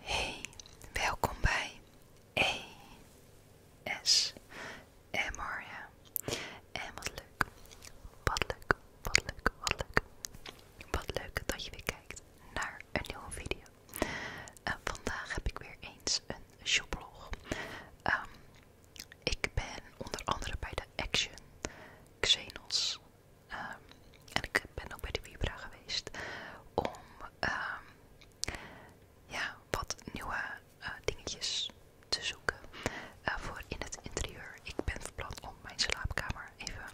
Hey, welkom bij ASMR. Ja. En wat leuk, wat leuk, wat leuk, wat leuk. Wat leuk dat je weer kijkt naar een nieuwe video. vandaag heb ik weer eens een shoplog. Ehm, ik ben onder andere bij de Action Xenos Ehm, en ik ben ook bij de Vibra geweest om ehm, ja, wat nieuwe eh, dingetjes te zoeken eh, voor in het interieur. Ik ben verplat om mijn slaapkamer even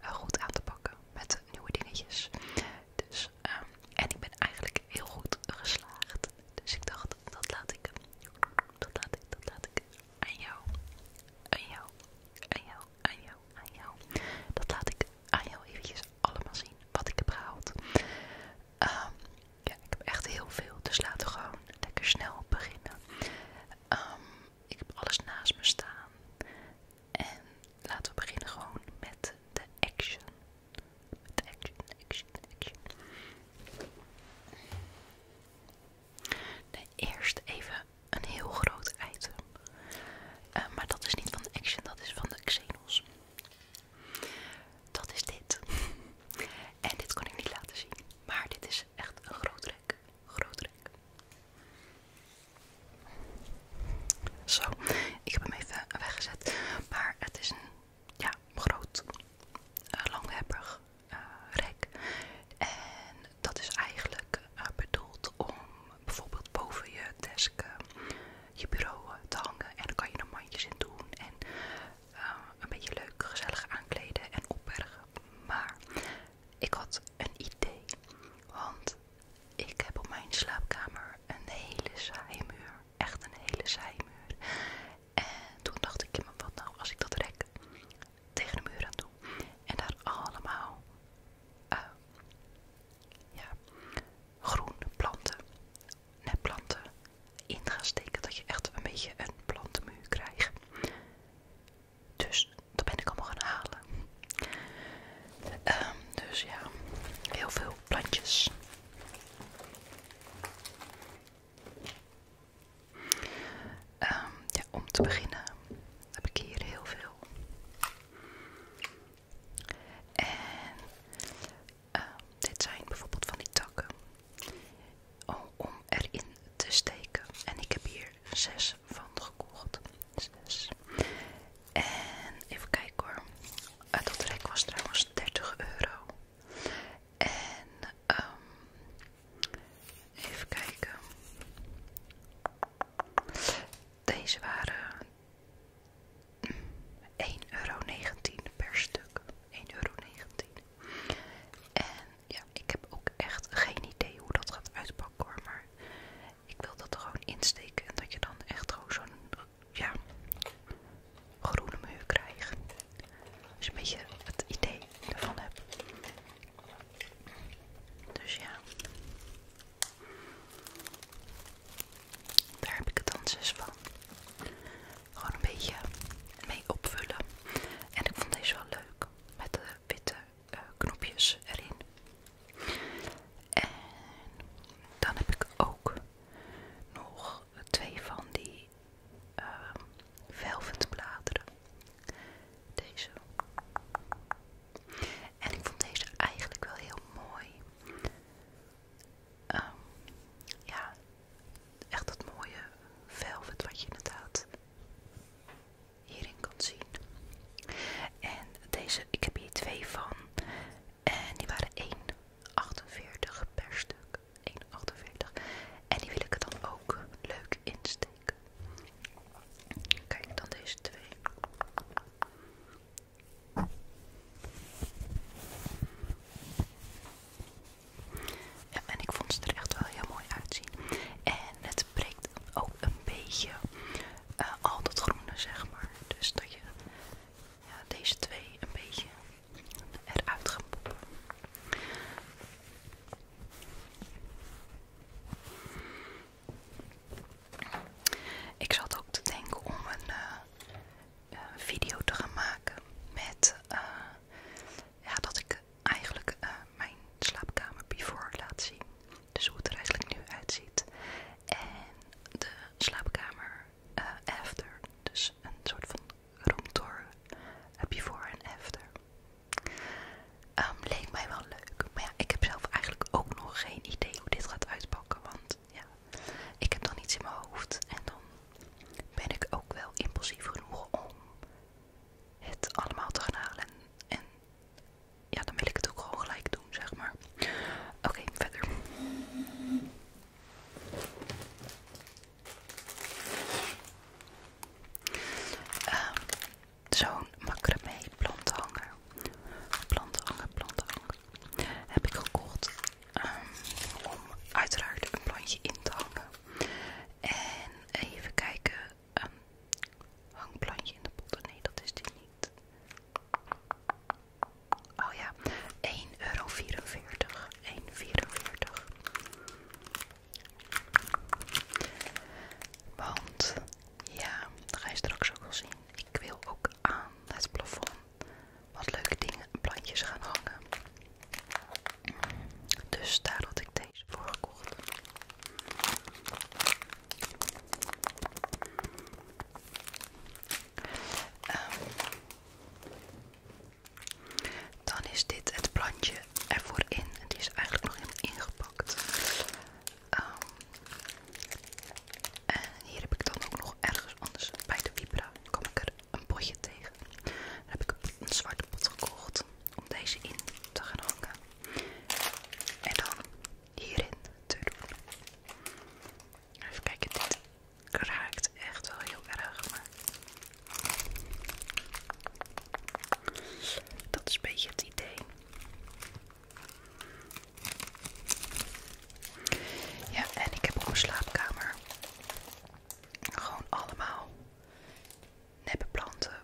eh, goed aan te pakken met nieuwe dingetjes. Dus, ehm, en ik ben eigenlijk heel goed geslaagd. Dus ik dacht, dat laat ik. Dat laat ik, dat laat ik aan jou, aan jou, aan jou, aan jou, en jou. Dat laat ik aan jou eventjes allemaal zien wat ik heb gehaald. Ehm, ja, ik heb echt heel veel, dus laten we gewoon lekker snel beginnen. Ehm, ik heb alles naast me staan. En laten we beginnen gewoon met de action. de action, action, action. Nee, eerst even een heel groot item. Eh, maar dat is niet van de Action, dat is van de Xenos. Dat is dit. en dit kon ik niet laten zien. Maar dit is echt een groot rek. Groot rek. Zo, ik heb hem even weggezet. Maar het is een ja, groot, uh, eh, rek. En dat is eigenlijk eh, bedoeld om bijvoorbeeld boven je desk, eh, je bureau te hangen. En dan kan je er mandjes in doen en een beetje leuk, gezellig aankleden en opbergen. Maar ik had een idee, want ik heb op mijn slaapkamer een hele zijmuur. Echt een hele zijmuur. En toen dacht ik, wat nou als ik dat rek tegen de muur aan toe. En daar allemaal eh, groen groene planten, netplanten in gaan steken. Dat je echt een beetje een plantenmuur krijgt. Dus dat ben ik allemaal gaan halen. Ehm, dus ja, heel veel plantjes. Ehm, om te beginnen heb ik hier heel veel. En ehm, dit zijn bijvoorbeeld van die takken om erin te steken. En ik heb hier zes van gekocht. Zes. En even kijken hoor. Eh, dat rek was trouwens 30 euro. En Ehm, even kijken. Deze waren 1,19 euro per stuk. 1,19 euro. En ja, ik heb ook echt geen idee hoe dat gaat uitpakken hoor. Maar ik wil dat er gewoon insteken en dat je dan echt gewoon zo'n ja, groene muur krijgt. Als je een beetje het idee ervan heb. Dus ja, daar heb ik het dan zes dus van. Gewoon een beetje mee opvullen. En ik vond deze wel leuk met de witte eh, knopjes erin. En dan heb ik ook nog twee van die eh, velvende bladeren. Deze. En ik vond deze eigenlijk wel heel mooi. Ehm, ja, echt dat mooie velvet wat je inderdaad hierin kan zien. En deze, ik heb hier twee van. En die waren 1,48 per stuk. 1,48. En die wil ik er dan ook leuk in steken. Kijk dan deze twee. en ik vond ze er echt wel heel mooi uitzien. En het breekt ook een beetje eh, al dat groene, zeg maar. Dus dat je deze twee een beetje eruit gaan poppen. Ik zat ook te denken om een eh, video te gaan maken met eh, dat ik eigenlijk eh, mijn slaapkamer before laat zien. Dus hoe het er eigenlijk nu uitziet. En de slaapkamer after. Dus een soort van roomtour before en after. Ehm, leek mij wel leuk. Maar ja, ik heb zelf eigenlijk ook nog geen idee hoe dit gaat uitpakken. Want ja, ik heb dan iets in mijn hoofd. En dan ben ik ook wel impulsief genoeg om het allemaal te gaan halen. En ja, dan wil ik het ook gewoon gelijk doen, zeg maar. Oké, verder. Ehm, zo'n macramee plantenhanger. Plantenhanger, plantenhanger. Heb ik gekocht ehm, om uiteraard een plantje in te hangen. En even kijken. Um, hangplantje in de pot. Nee, dat is die niet. Oh ja, 1,44 euro. 1,44 want ja, dat ga je straks ook wel zien. Ik wil ook aan het plafond wat leuke dingen, plantjes gaan hangen. Dus daar had ik deze voor gekocht. Ehm, dan is dit het plantje ervoor in. En die is eigenlijk nog ingepakt. Ehm, en hier heb ik dan ook nog ergens anders bij de Vibra. kom ik er een potje tegen. daar heb ik een zwarte pot gekocht om deze in te gaan hangen. En dan hierin te doen. Even kijken, dit raakt echt wel heel erg. Maar dat is een beetje het idee. Ja, en ik heb op mijn slaapkamer gewoon allemaal neppe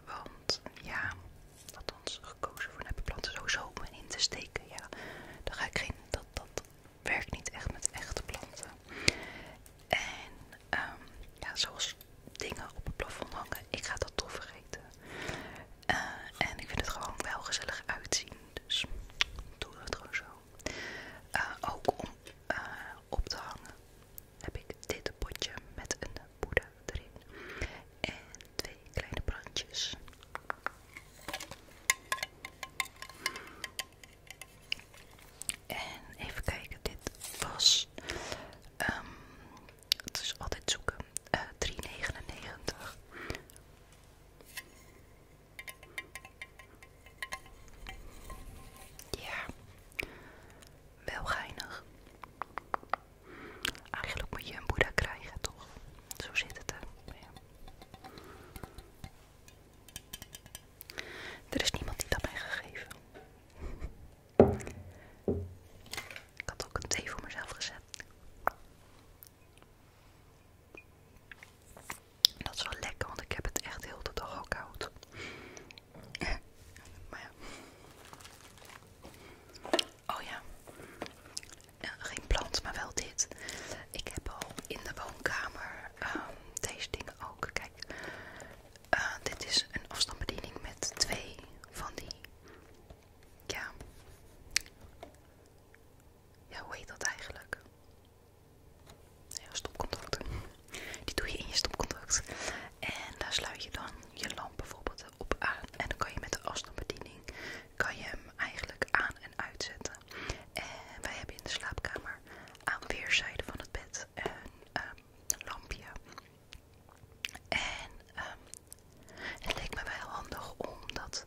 want ja, ons gekozen voor nepplanten, zo sowieso in te steken. Ja, daar ga ik geen, dat, dat werkt niet echt met echte planten. En ehm, ja, zoals dingen op het plafond hangen. Ik ga dat toch vergeten. Eh, en ik vind het gewoon wel gezellig uitzien. Dus ik doe het gewoon zo. Eh, ook om eh, op te hangen heb ik dit potje met een boede erin. En twee kleine brandjes. En even kijken, dit was dus het is altijd zoeken. Uh, eh, 3,99. Ja, wel geinig. Eigenlijk moet je een boeddha krijgen, toch? Zo zit het er. Er is niemand die dat mij gegeven. Ik had ook een thee voor mezelf gezet. dat is wel lekker, want ik heb het echt heel de dag al koud. Oh ja. Geen plant, maar wel dit. Ik heb al in de woonkamer ehm, deze dingen ook. Kijk, eh, dit is een afstandsbediening met twee van die. Ja. Ja, hoe heet dat eigenlijk? Ja, stopcontact. Die doe je in je stopcontact. En daar sluit je dan je lamp bijvoorbeeld op aan. En dan kan je met de afstandsbediening kan je hem eigenlijk aan en uitzetten. En wij hebben in de slaapkamer aan weerszijden van het bed een ehm, lampje. En ehm, het leek me wel handig om dat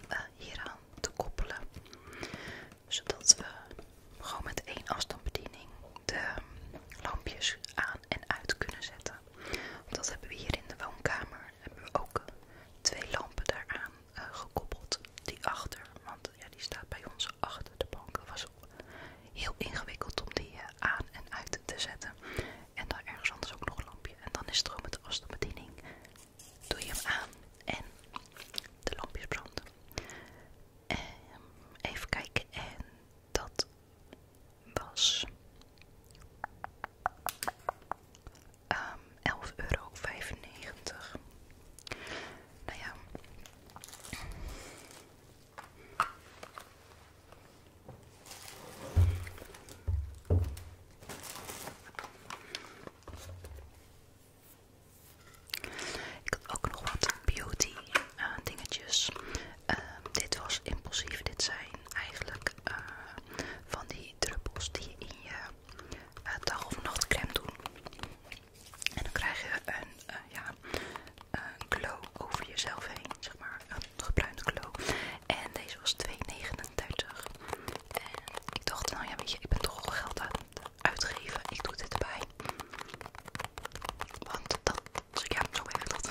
hier eh, hieraan te koppelen. Zodat we gewoon met één afstandsbediening de ehm, lampjes aan en uit kunnen zetten. dat hebben we hier in de woonkamer. Hebben we ook twee lampen daaraan eh, gekoppeld. Die achter, want ja, die staat bij ons achter de banken heel ingewikkeld om die eh, aan en uit te zetten. En dan ergens anders ook nog een lampje. En dan is het gewoon met de afstandsbediening. Doe je hem aan en de lampjes branden. Ehm, even kijken. En dat was um, ehm, 11,95 euro. Nou ja. Ik had ook nog wat beauty eh, dingetjes. Ehm, dit was impulsief. Dit zijn eigenlijk eh, van die druppels die je in je eh, dag- of nachtcreme doen. En dan krijg je een, ja, een glow over jezelf heen, zeg maar een gebruinde glow. En deze was 2,39. En ik dacht, nou ja, weet je, ik ben toch geld aan het uitgeven. Ik doe dit erbij. Want dat, ja, dus zo werkt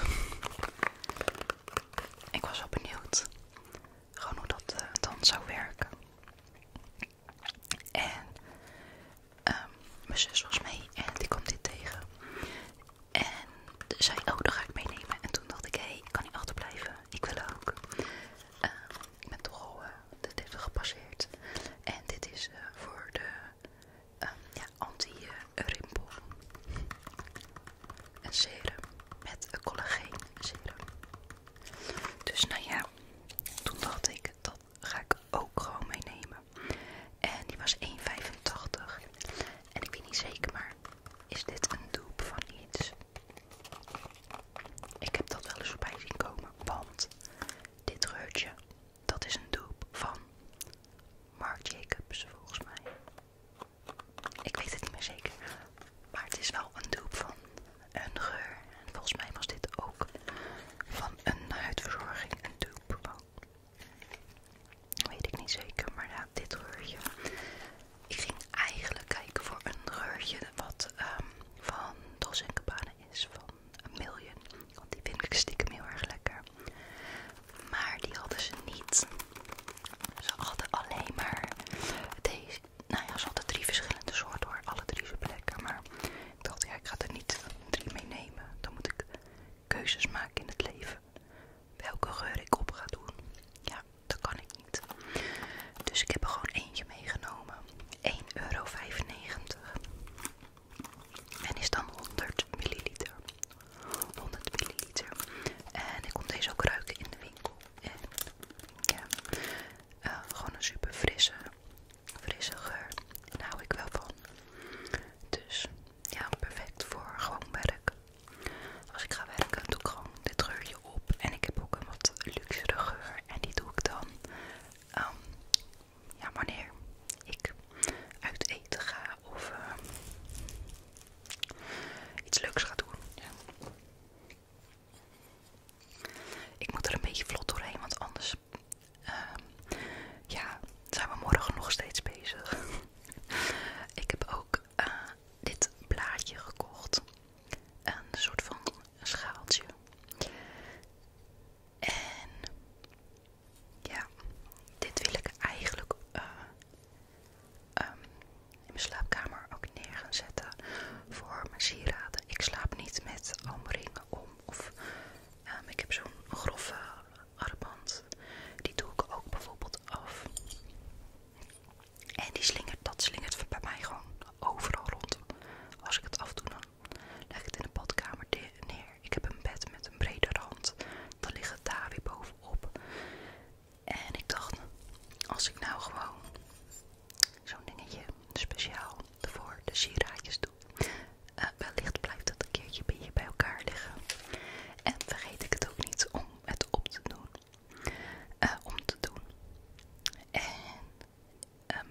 Ik was wel benieuwd gewoon hoe dat eh, dan zou werken. En ehm, mijn zus was mee en die komt dit tegen. En zei, oh, dat ga ik meenemen. En toen dacht ik, hé, ik kan niet achterblijven. Ik wil ook. Ehm, ik ben toch al eh, de 30 gepasseerd. En dit is eh, voor de ehm, anti-rimpel. Een serum met een collageen serum. Dus nou ja, toen dacht ik, dat ga ik ook gewoon meenemen. En die was 1,85. En ik weet niet zeker, maar is dit een dupe van iets? Ik heb dat wel eens voorbij zien komen, want dit geurtje dat is een dupe van Mark Jacobs volgens mij. Ik weet het niet meer zeker, maar het is wel een dupe van een geur. En volgens mij was dit ook van een huidverzorging, een dupe Weet ik niet zeker, maar dit reurtje. Ik ging eigenlijk kijken voor een reurtje wat ehm, van Dos en Cabana is, van een Million. Want die vind ik stiekem heel erg lekker. Maar die hadden ze niet. Ze hadden alleen maar deze. Nou ja, ze hadden drie verschillende soorten hoor. Alle drie zijn lekker. Maar ik dacht, ja, ik ga er niet drie meenemen. Dan moet ik keuzes maken in het leven. Welke geur ik op ga doen. Ja, dat kan ik niet. Dus ik heb er gewoon eentje meegenomen. 1,95 euro. En is dan 100 milliliter. 100 milliliter. En ik kom deze ook ruiken in de winkel. En ja, eh, gewoon een super frisse, frisse geur. Daar hou ik wel van. Dus ja, perfect voor gewoon werk. Als ik ga werken, doe ik gewoon dit geurtje op. En ik heb ook een wat luxere geur. En die doe ik dan ehm, ja, wanneer ik uit eten ga of eh, iets leuks ga doen. Ik moet er een beetje vlot doorheen, want anders Ehm, ja, zijn we morgen nog steeds bezig. ik heb ook eh, dit blaadje gekocht. Een soort van schaaltje. En ja, dit wil ik eigenlijk eh, ehm, in mijn slaapkamer ook neer gaan zetten voor mijn sieraden. Ik slaap niet met allemaal om of ehm, ik heb zo'n grove die doe ik ook bijvoorbeeld af. En die slingert, dat slingert bij mij gewoon overal rond. Als ik het afdoe, dan leg ik het in de badkamer neer. Ik heb een bed met een brede rand. Dan liggen het daar weer bovenop. En ik dacht, als ik nou gewoon zo'n dingetje speciaal voor de sieraadjes doe. Eh, wellicht blijft dat een keertje bij beetje bij elkaar liggen. En vergeet ik het ook niet om het op te doen. Eh, om te doen. En, ehm,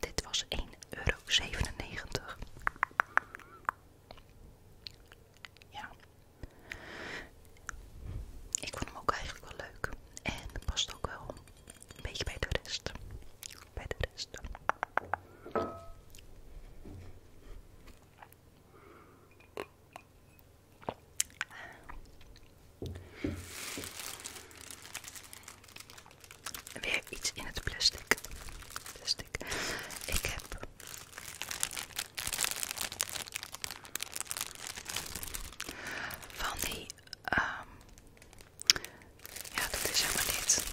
dit was 1,97 euro. Ja. Ik vond hem ook eigenlijk wel leuk. En past ook wel een beetje bij de rest. Bij de rest. Weer iets in het plastic. Plastic. Ik heb van die um, ja, dat is helemaal dit.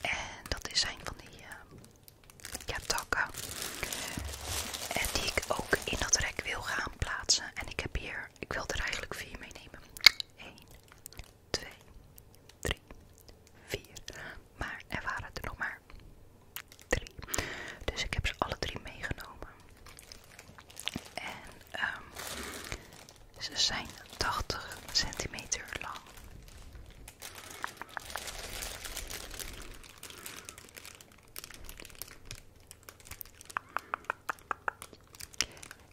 En dat zijn van die uh, ja, takken. En die ik ook in dat rek wil gaan plaatsen. En ik heb hier, ik wil er eigenlijk vier meenemen. 1, 2, 3, 4. Maar er waren er nog maar 3. Dus ik heb ze alle drie meegenomen. En ehm ze zijn 80 centimeter lang.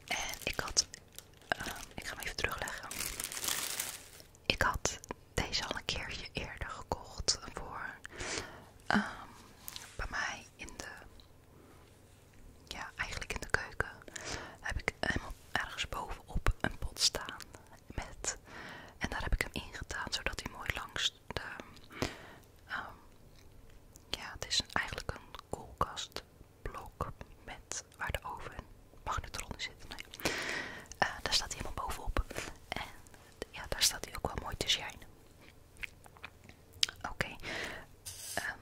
En ik had, eh, ik ga hem even terugleggen. Ik had deze al een keertje eerder gekocht voor ehm, bij mij in de ja, eigenlijk in de keuken heb ik helemaal ergens bovenop een pot staan met en daar heb ik hem ingedaan zodat hij mooi langs de ehm, ja, het is eigenlijk een koelkastblok met waar de oven magnetron in zit. Nee. Eh, daar staat hij helemaal bovenop en ja, daar staat hij ook wel mooi te schijnen. Oké, ehm,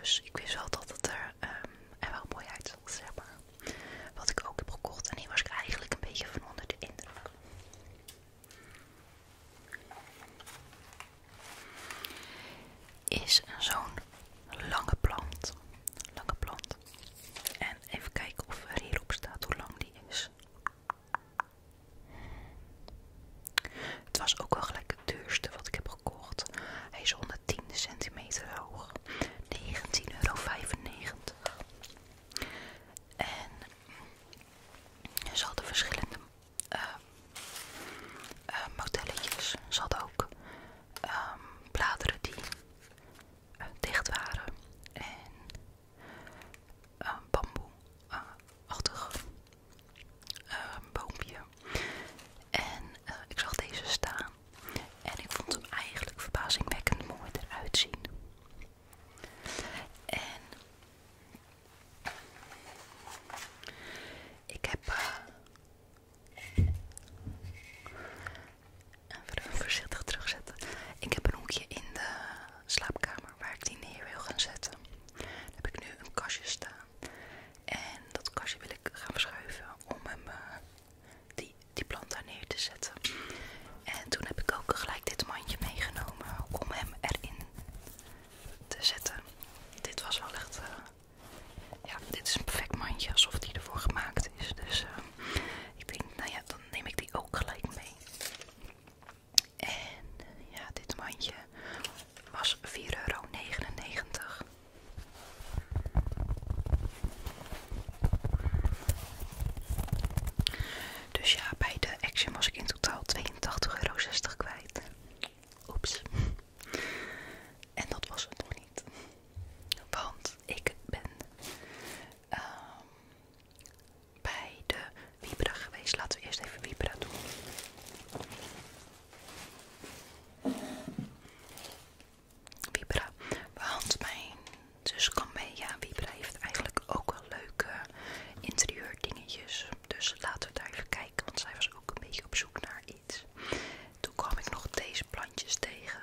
dus ik wist wel dat het er, ehm, wel mooi uitzag, zeg maar. Wat ik ook heb gekocht en hier was ik eigenlijk een beetje van onder de indruk. Is zo'n lange plant. Lange plant. En even kijken of er hierop staat hoe lang die is. Het was ook wel gelijk het duurste wat ik heb gekocht. Hij is 110 centimeter hoog. 19,95 euro. En ze hadden verschillende uh, modelletjes. Ze hadden ook ehm, bladeren die eh, dicht waren. En bamboe-achtig. Uh, een ehm, boompje. En eh, ik zag deze staan. En ik vond hem eigenlijk verbazingwekkend mooi eruit zien. En ik heb eh, even voorzichtig terugzetten. Ik heb een hoekje in de slaapkamer waar ik die neer wil gaan zetten. Daar heb ik nu een kastje staan. En dat kastje wil ik gaan verschuiven om hem, eh, die, die plant daar neer te zetten. En toen heb ik ook gelijk dit mandje meegenomen om hem erin te zetten. Dit was wel echt... Eh, ja, dit is een perfect mandje, alsof die ervoor gemaakt is. Dus eh, ik denk, nou ja, dan neem ik die ook gelijk mee. En ja, dit mandje was 4,99 euro. Dus ja, bij de Action was ik in totaal 82,60 euro kwijt. Oeps. En dat was het nog niet. Want ik ben ehm, bij de Vibra geweest. Laten we eerst even Vibra doen. Vibra, want mijn zus kan mee. Ja, Vibra heeft eigenlijk ook wel leuke interieur dingetjes, Dus laten we daar even kijken, want zij was ook een beetje op zoek naar iets. Toen kwam ik nog deze plantjes tegen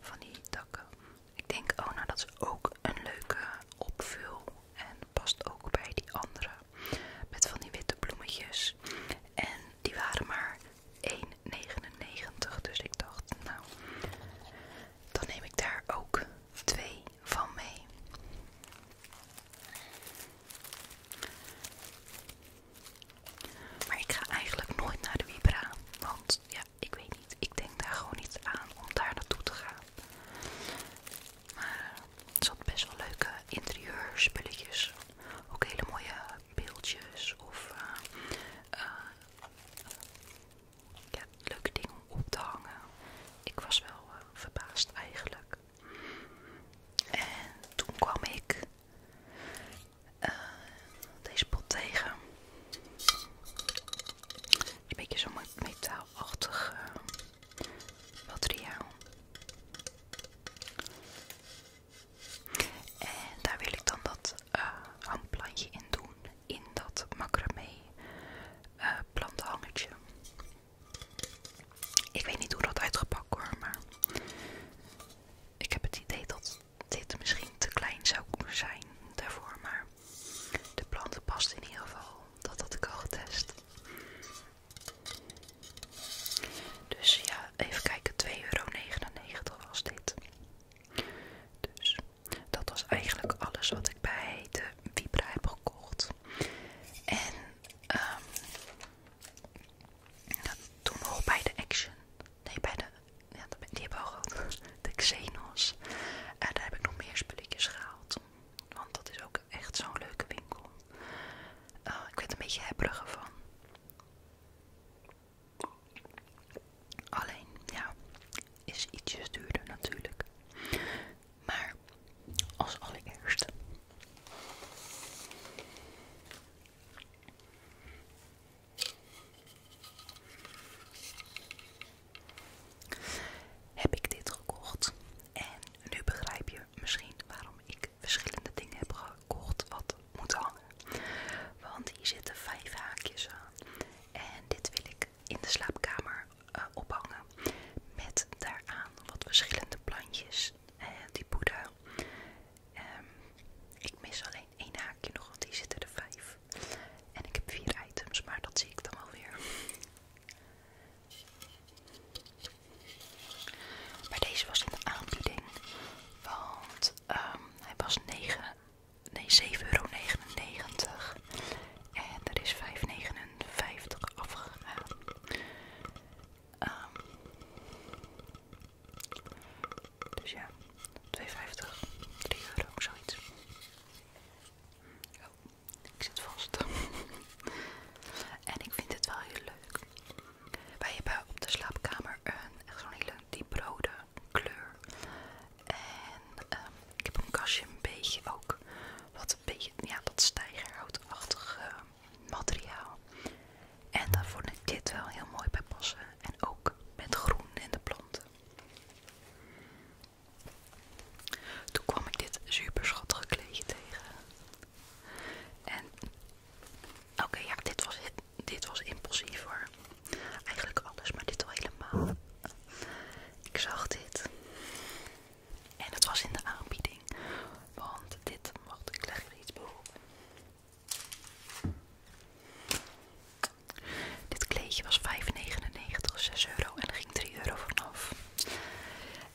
van die takken. Ik denk, oh nou dat is ook een leuke opvul en past ook bij die andere. Met van die witte bloemetjes. En die waren maar 1,99. Dus ik dacht, nou, dan neem ik daar ook twee van mee. Maar ik ga eigenlijk nooit naar de Vibra. Want ja, ik weet niet. Ik denk daar gewoon niet aan om daar naartoe te gaan. Maar eh, het zat best wel leuke interieurspulletjes. Ook hele mooie beeldjes of eh, eh, ja, leuke dingen om op te hangen. Ik was wel verbaasd eigenlijk. En toen kwam ik deze pot tegen. Een beetje zo'n metaalachtig materiaal. En daar wil ik dan dat uh, eh, handplantje in doen, in dat macramé eh, plantenhangetje. plantenhangertje. Ik weet niet hoe dat uitgepakt wordt, maar ik heb het idee dat dit misschien te klein zou kunnen zijn daarvoor, maar de plant past in ieder geval. Dat had ik al getest. Dus ja, even kijken, 2,99 euro was dit. Dus dat was eigenlijk alles wat ik bij de Vibra heb gekocht. En ehm, toen nog bij de Action. Nee, bij de. Ja, die al gehad. De Xenos. En daar heb ik nog meer spulletjes gehaald. Want dat is ook echt zo'n leuke winkel. Oh, ik werd een beetje hebberig van. Alleen, ja, is ietsjes duurder natuurlijk. Maar als allereerst Heb ik dit gekocht en nu begrijp je misschien waarom ik verschillende dingen heb gekocht wat moet hangen. Want hier zitten vijf haakjes aan. En dit wil ik in de slaapkamer eh, ophangen. Met daaraan wat verschillende plantjes. en eh, die boeden. Ehm, ik mis alleen één haakje nog, want hier zitten er vijf. En ik heb vier items, maar dat zie ik dan wel weer. Maar deze was in de aanbieding, want ehm, hij was 9, nee, 7,99 euro. En er is 5,59 afgegaan. Ehm, dus ja, 2,50, 3 euro, zoiets. Oh, ik zit vast. en ik vind het wel heel leuk. Wij hebben op de slaapkamer een echt zo'n hele dieprode kleur. En ehm, ik heb een kastje een beetje ook wat een beetje ja, dat ehm, materiaal. En daar vond ik dit wel heel mooi bij passen. En ook met groen en de planten. Toen kwam ik dit super schattige kleedje tegen. En oké, ja, dit was, dit was impulsief hoor. Eigenlijk alles, maar dit al helemaal. Ik zag dit. En het was in de aanbieding. Want dit, wacht, ik leg er iets bij. Dit kleedje was 5,99, 6 euro en er ging 3 euro vanaf.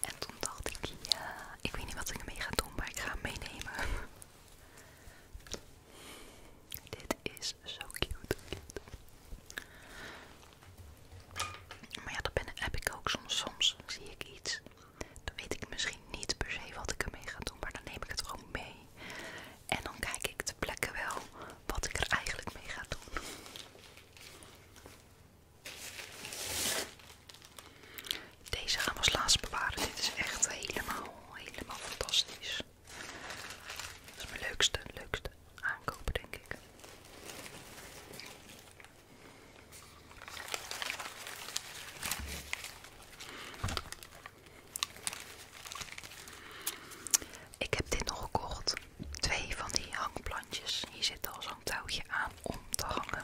En toen dacht ik, ja, ik weet niet wat ik ermee ga doen, maar ik ga hem meenemen. Dit is zo cute. Maar ja, dat ben, heb ik ook soms. Soms zie ik iets. Dan weet ik misschien niet per se wat ik ermee ga doen, maar dan neem ik het gewoon mee. En dan kijk ik de plekken wel wat ik er eigenlijk mee ga doen. Deze gaan we als laatst bewaren. Dit is echt helemaal, helemaal fantastisch. Dat is mijn leukste, leukste aankopen denk ik. Ik heb dit nog gekocht. Twee van die hangplantjes. Hier zitten al zo'n een touwtje aan om te hangen.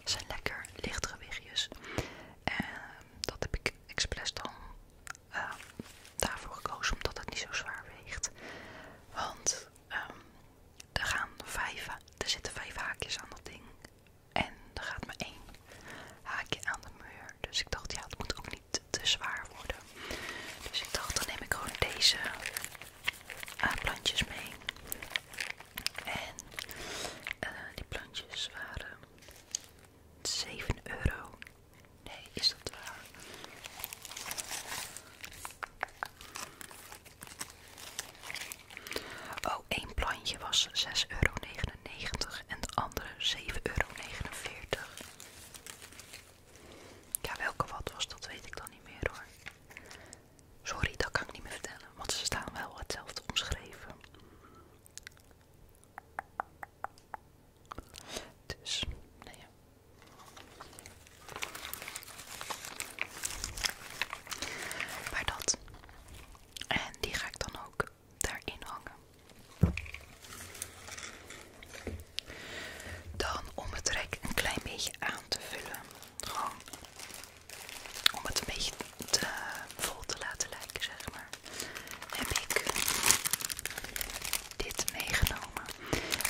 Het zijn lekker wichtjes. En ehm, dat heb ik expres dan ehm, daarvoor gekozen, omdat het niet zo zwaar weegt. Want ehm, er, gaan vijf, er zitten vijf haakjes aan dat ding. En er gaat maar één haakje aan de muur. Dus ik dacht, ja, het moet ook niet te zwaar worden. Dus ik dacht, dan neem ik gewoon deze uh, mee. En eh, die plantjes waren zeven euro. Nee, is dat waar? Oh, één plantje was 6,99 euro en het andere 7,49 euro. Ja, welke wat was, dat weet ik dan niet meer hoor. Sorry, dat kan ik niet meer vertellen, want ze staan wel hetzelfde omschreven. Dus, nee. Nou ja. Maar dat. En die ga ik dan ook daarin hangen. Dan om het rek een klein beetje aan te vullen. Gewoon om het een beetje te, eh, vol te laten lijken, zeg maar, heb ik dit meegenomen.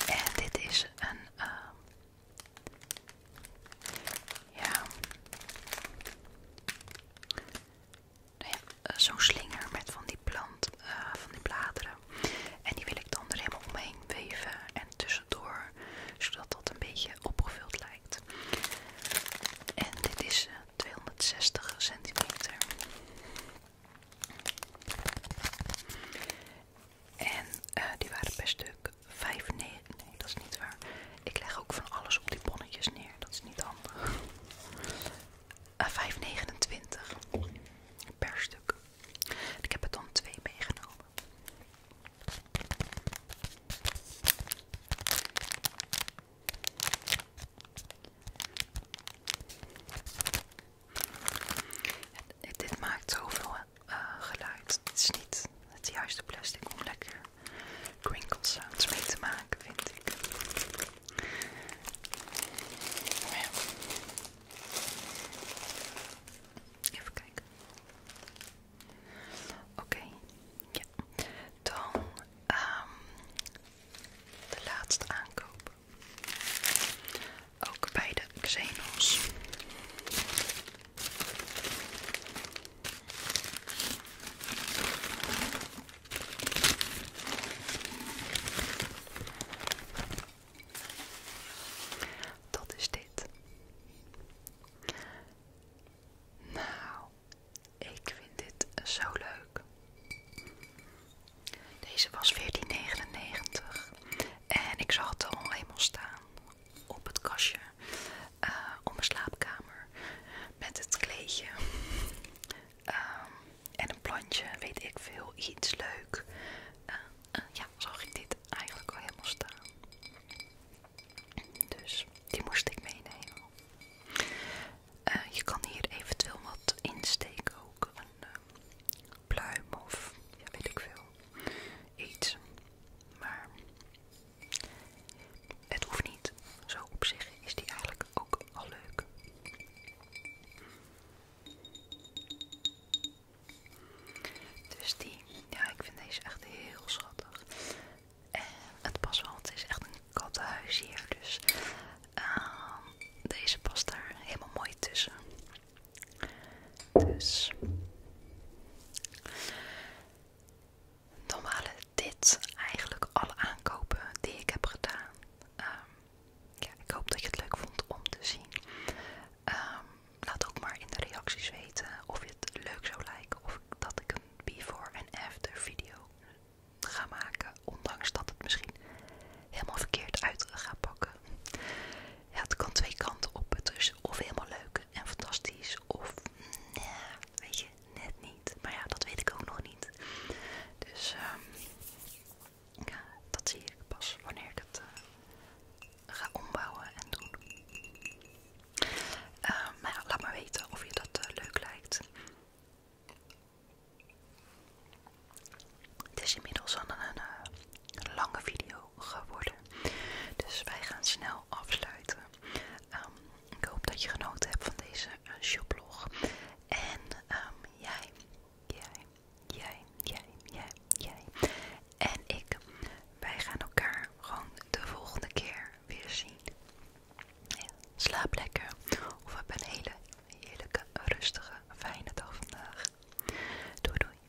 En dit is een, ehm, ja, nou eh, zo'n slinger met van die plant, eh, van die bladeren. En die wil ik dan er helemaal omheen weven en tussendoor zodat dat een beetje opgevuld lijkt. En dit is 260 eh, centimeter. En eh, die waren per stuk 95. Nee, dat is niet waar. Ik leg ook van alles op die bonnetjes neer. Dat is niet handig. 5,29 eh, per stuk. Ik heb er dan twee meegenomen. Het, dit maakt zoveel uh, geluid. Het is niet het juiste plastic om lekker crinkle sounds mee te maken, vind ik. Even kijken. Oké, Dan um, de laatste aankoop. Ook bij de Xenos. Dat is dit. Nou, ik vind dit zo leuk. Deze was 14,99 en ik zag het al helemaal staan op het kastje eh, op mijn slaapkamer met het kleedje ehm, en een plantje, weet ik veel, iets leuk. Eh, eh, ja, zag ik dit eigenlijk al helemaal staan. Dus die moest ik meenemen. Eh, je kan hier eventueel wat insteken ook. Een eh, pluim of ja, weet ik veel. Iets. Maar het hoeft niet. Zo op zich is die eigenlijk ook al leuk. Dus die, ja, ik vind deze echt heel schattig. En eh, het past wel, het is echt een kattenhuis hier. Dus ehm, deze past daar helemaal mooi tussen. Dus. Dan waren dit eigenlijk alle aankopen die ik heb gedaan. Ehm, ja, ik hoop dat je het leuk vond om te zien. Ehm, laat ook maar in de reacties weten of je het leuk zou lijken of dat ik before en after video gaan maken. Ondanks dat het misschien helemaal verkeerd uit gaat pakken. Ja, het kan twee kanten op. Het is of helemaal leuk en fantastisch of nee, weet je, net niet. Maar ja, dat weet ik ook nog niet. Dus ehm, ja, dat zie ik pas wanneer ik het eh, ga ombouwen en doen maar ehm, nou laat maar weten of je dat eh, leuk lijkt. Het is inmiddels al eh, een, lange video geworden. Dus wij gaan snel afsluiten. Ehm, ik hoop dat je genoten hebt van deze uh, En ehm, jij, jij, jij, jij, jij, jij. En ik, wij gaan elkaar gewoon de volgende keer weer zien. slaap lekker of heb een hele heerlijke, rustige, fijne dag vandaag. Doei doei.